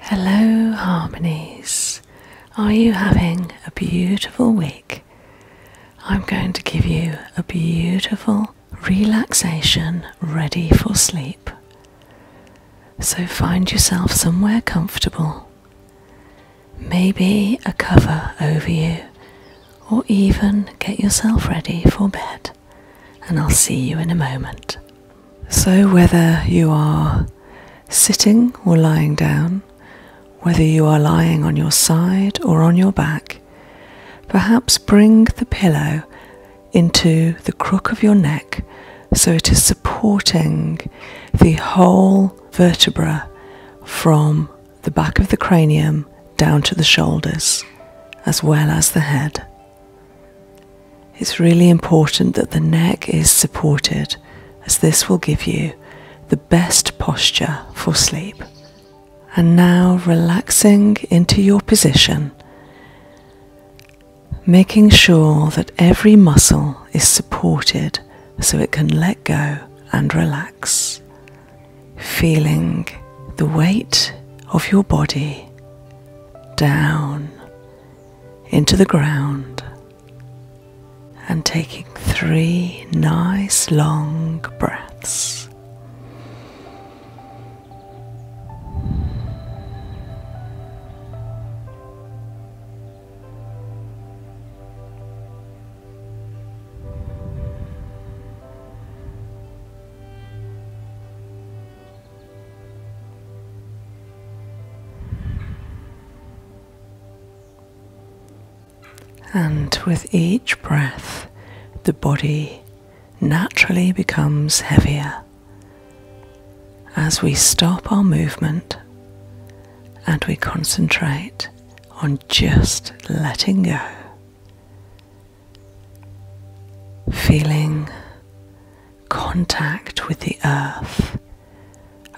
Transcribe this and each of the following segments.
Hello, Harmonies. Are you having a beautiful week? I'm going to give you a beautiful relaxation ready for sleep. So find yourself somewhere comfortable. Maybe a cover over you, or even get yourself ready for bed and I'll see you in a moment. So, whether you are sitting or lying down, whether you are lying on your side or on your back, perhaps bring the pillow into the crook of your neck so it is supporting the whole vertebra from the back of the cranium down to the shoulders, as well as the head. It's really important that the neck is supported, as this will give you the best posture for sleep. And now relaxing into your position, making sure that every muscle is supported so it can let go and relax. Feeling the weight of your body down into the ground and taking three nice long breaths. And with each breath, the body naturally becomes heavier as we stop our movement and we concentrate on just letting go feeling contact with the earth,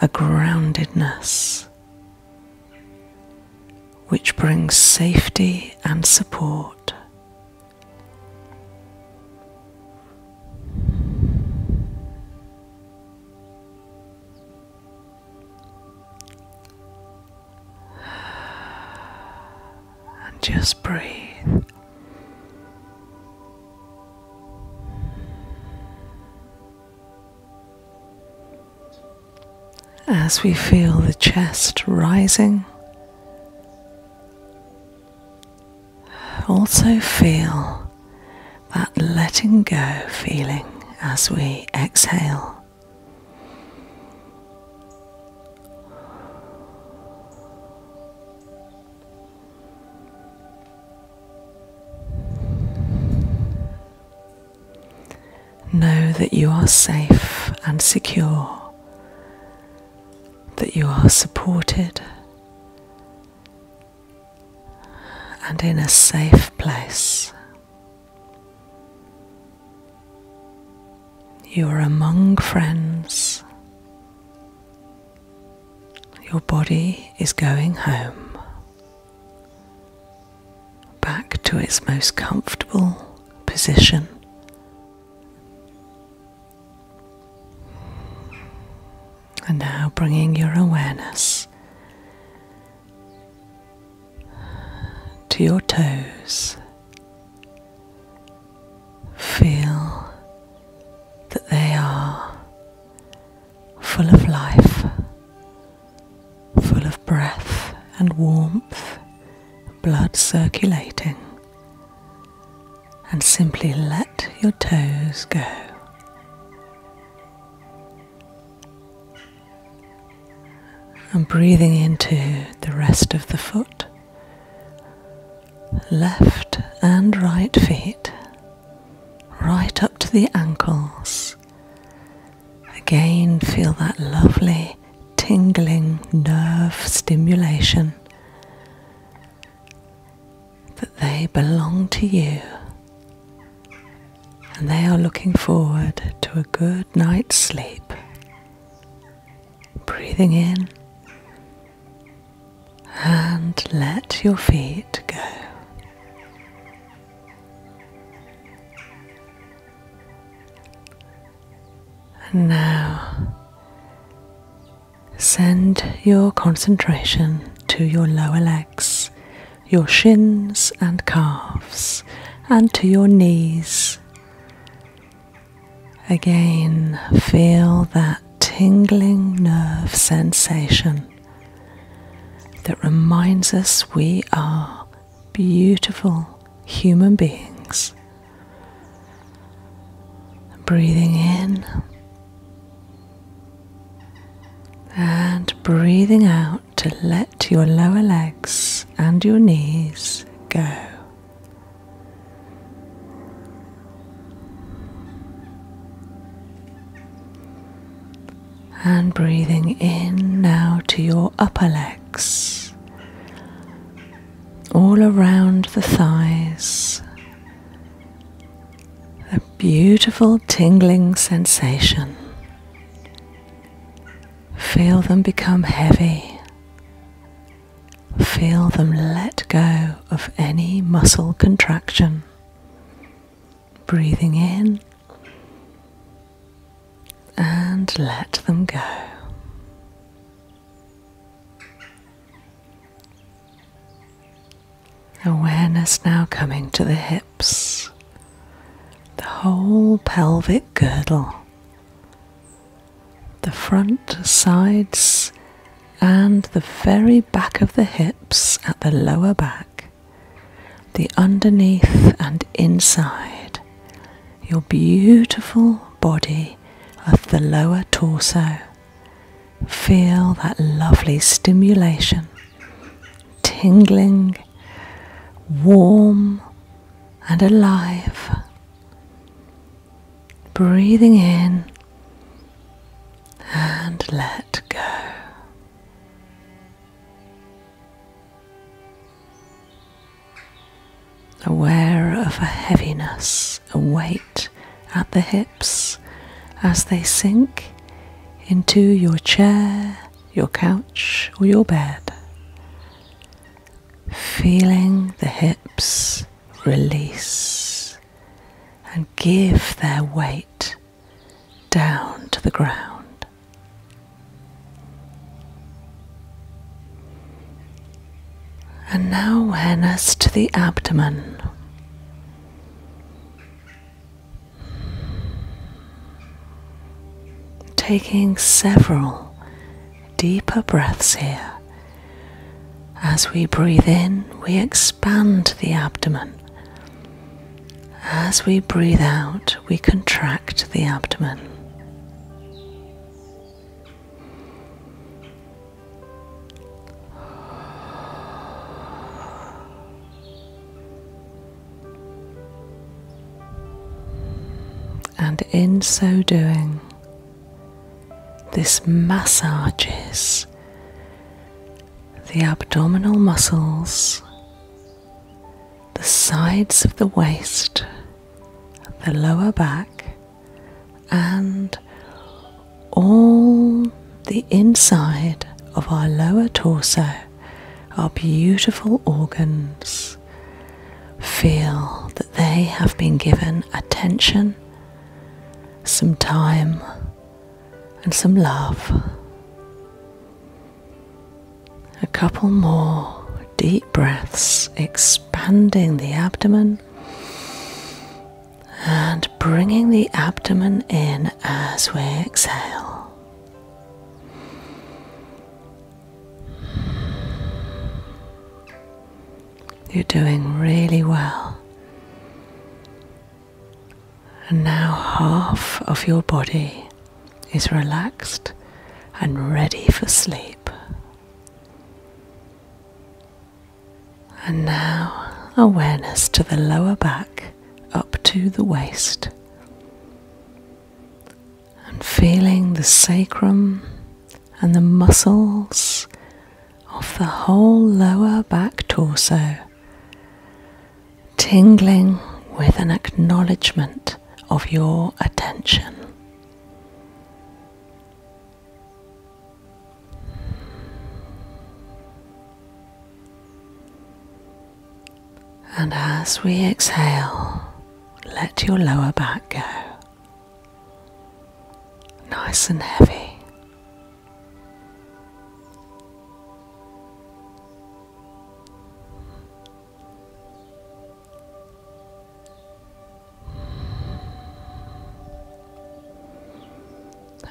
a groundedness which brings safety and support and just breathe. As we feel the chest rising, also feel that letting go feeling as we exhale. Know that you are safe and secure, that you are supported and in a safe place. You are among friends. Your body is going home, back to its most comfortable position. And now bringing your awareness to your toes, Feel that they are full of life, full of breath and warmth, blood circulating, and simply let your toes go. and breathing into the rest of the foot. Left and right feet right up to the ankles. Again, feel that lovely tingling nerve stimulation that they belong to you and they are looking forward to a good night's sleep breathing in and let your feet go. And now send your concentration to your lower legs, your shins and calves, and to your knees. Again, feel that tingling nerve sensation that reminds us we are beautiful human beings. Breathing in and breathing out to let to your lower legs and your knees go. And breathing in now to your upper legs, all around the thighs, a beautiful tingling sensation. Feel them become heavy. Feel them let go of any muscle contraction. Breathing in and let them go. Awareness now coming to the hips, the whole pelvic girdle the front, sides, and the very back of the hips at the lower back, the underneath and inside, your beautiful body of the lower torso. Feel that lovely stimulation tingling warm and alive. Breathing in and let go. Aware of a heaviness, a weight at the hips as they sink into your chair, your couch, or your bed feeling the hips release and give their weight down to the ground. And now awareness to the abdomen. Taking several deeper breaths here. As we breathe in, we expand the abdomen. As we breathe out, we contract the abdomen. And in so doing, this massages the abdominal muscles, the sides of the waist, the lower back, and all the inside of our lower torso, our beautiful organs feel that they have been given attention, some time, and some love. A couple more deep breaths, expanding the abdomen and bringing the abdomen in as we exhale. You're doing really well. And now half of your body is relaxed and ready for sleep. And now awareness to the lower back up to the waist and feeling the sacrum and the muscles of the whole lower back torso tingling with an acknowledgement of your attention. And as we exhale, let your lower back go. Nice and heavy.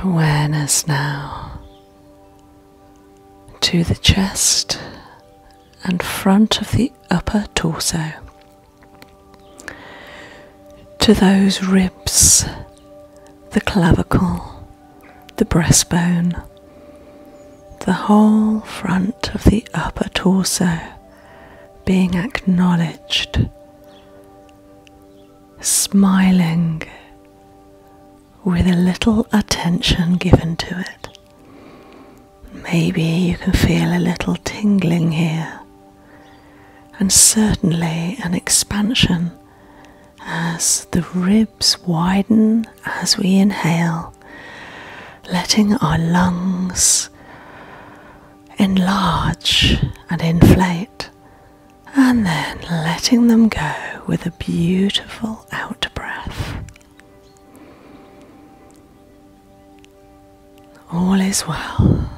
Awareness now to the chest and front of the upper torso, to those ribs, the clavicle, the breastbone, the whole front of the upper torso being acknowledged, smiling with a little attention given to it. Maybe you can feel a little tingling here, and certainly an expansion as the ribs widen as we inhale, letting our lungs enlarge and inflate, and then letting them go with a beautiful out breath. All is well.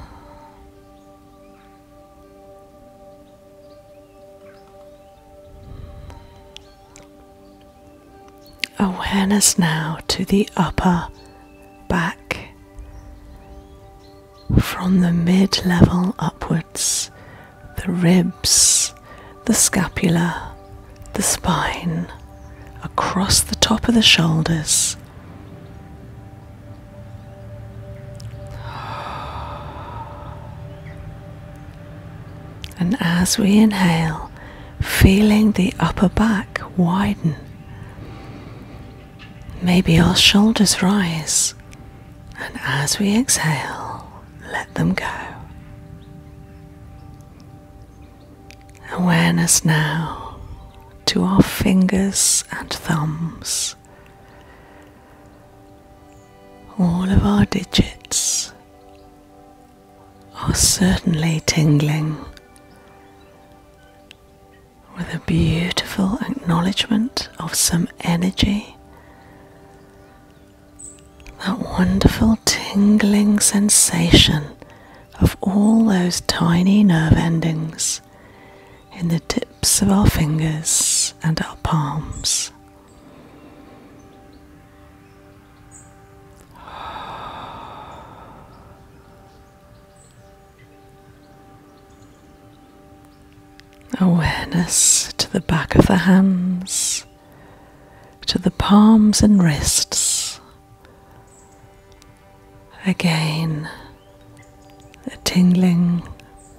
Awareness now to the upper back from the mid level upwards the ribs, the scapula, the spine, across the top of the shoulders. And as we inhale, feeling the upper back widen. Maybe our shoulders rise and as we exhale, let them go. Awareness now to our fingers and thumbs, all of our digits are certainly tingling with a beautiful acknowledgement of some energy that wonderful tingling sensation of all those tiny nerve endings in the tips of our fingers and our palms awareness to the back of the hands, to the palms and wrists. Again, a tingling,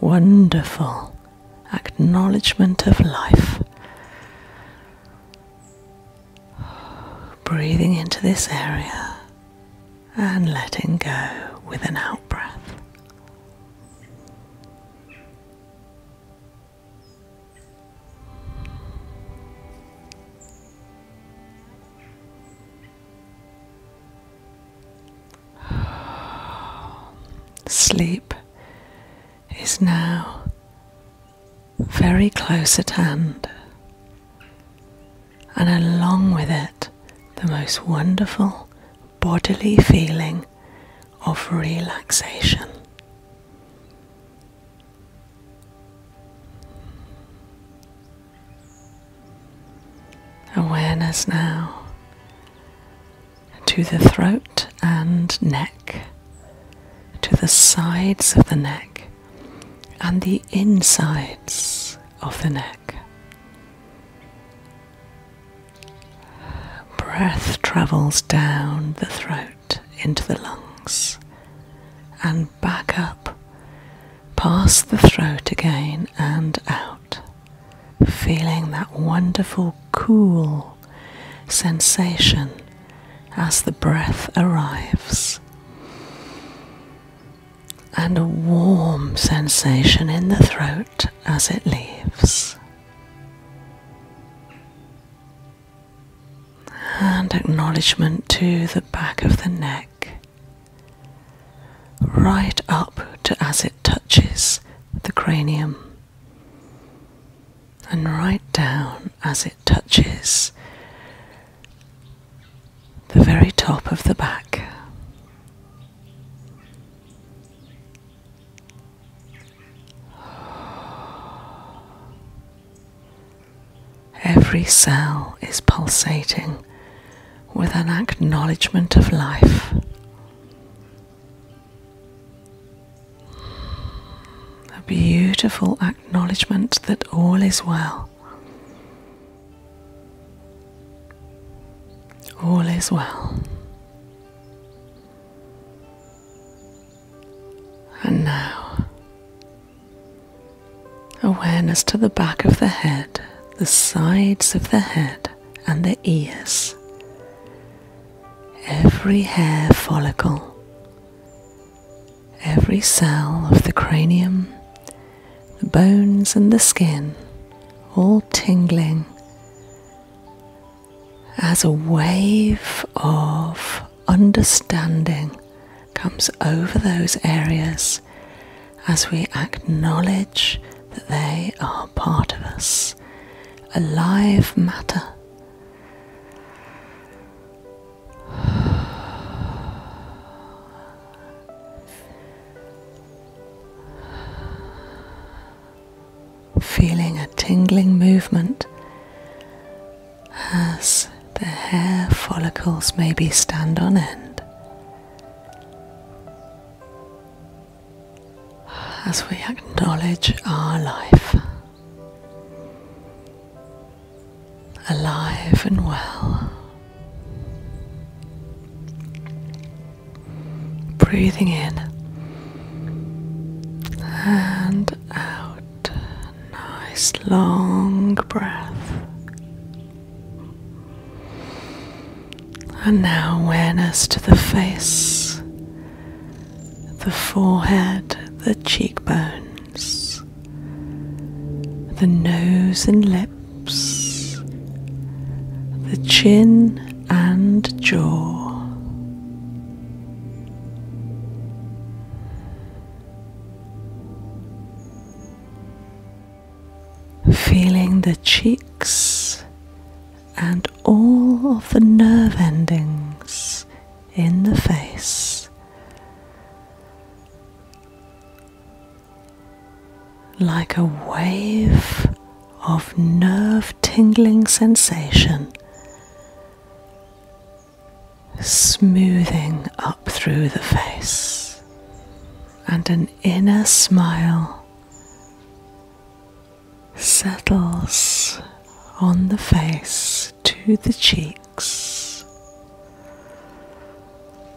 wonderful acknowledgement of life. Breathing into this area and letting go with an out breath. Sleep is now very close at hand, and along with it, the most wonderful bodily feeling of relaxation. Awareness now to the throat and neck, to the sides of the neck and the insides of the neck. Breath travels down the throat into the lungs and back up, past the throat again and out, feeling that wonderful cool sensation as the breath arrives, and a warm sensation in the throat as it leaves. And acknowledgement to the back of the neck, right up to as it touches the cranium, and right down as it touches the very top of the back. Every cell is pulsating with an acknowledgement of life. A beautiful acknowledgement that all is well. All is well. And now, awareness to the back of the head, the sides of the head, and the ears. Every hair follicle, every cell of the cranium, the bones, and the skin, all tingling as a wave of understanding comes over those areas as we acknowledge that they are part of us, alive matter feeling a tingling movement as the hair follicles maybe stand on end. As we acknowledge our life, alive and well. Breathing in and out. Nice long breath. And now awareness to the face, the forehead, the cheekbones, the nose and lips the chin and jaw. Feeling the cheeks and all of the nerve endings in the face like a wave of nerve tingling sensation smoothing up through the face, and an inner smile settles on the face to the cheeks.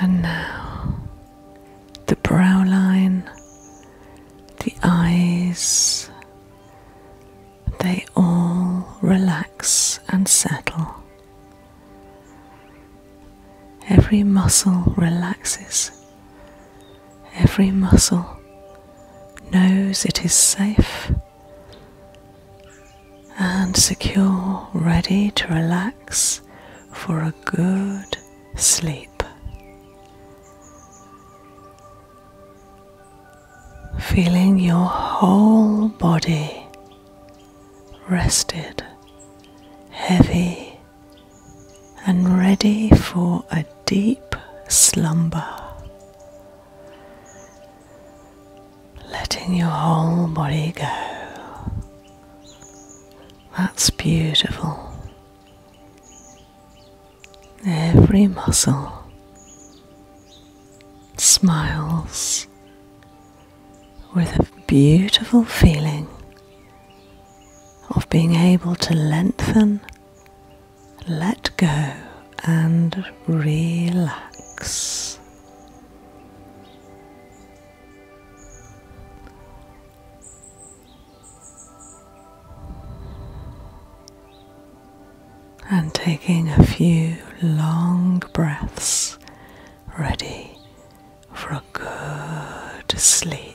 And now the brow line, the eyes, they all relax and settle. Every muscle relaxes every muscle knows it is safe and secure, ready to relax for a good sleep. Feeling your whole body rested, heavy, and ready for a deep slumber, letting your whole body go. That's beautiful. Every muscle smiles with a beautiful feeling of being able to lengthen let go and relax. And taking a few long breaths, ready for a good sleep.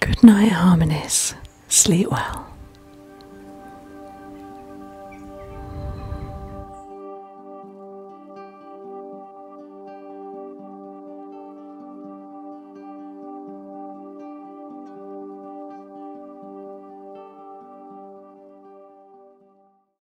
Good night, Harmonies. Sleep well.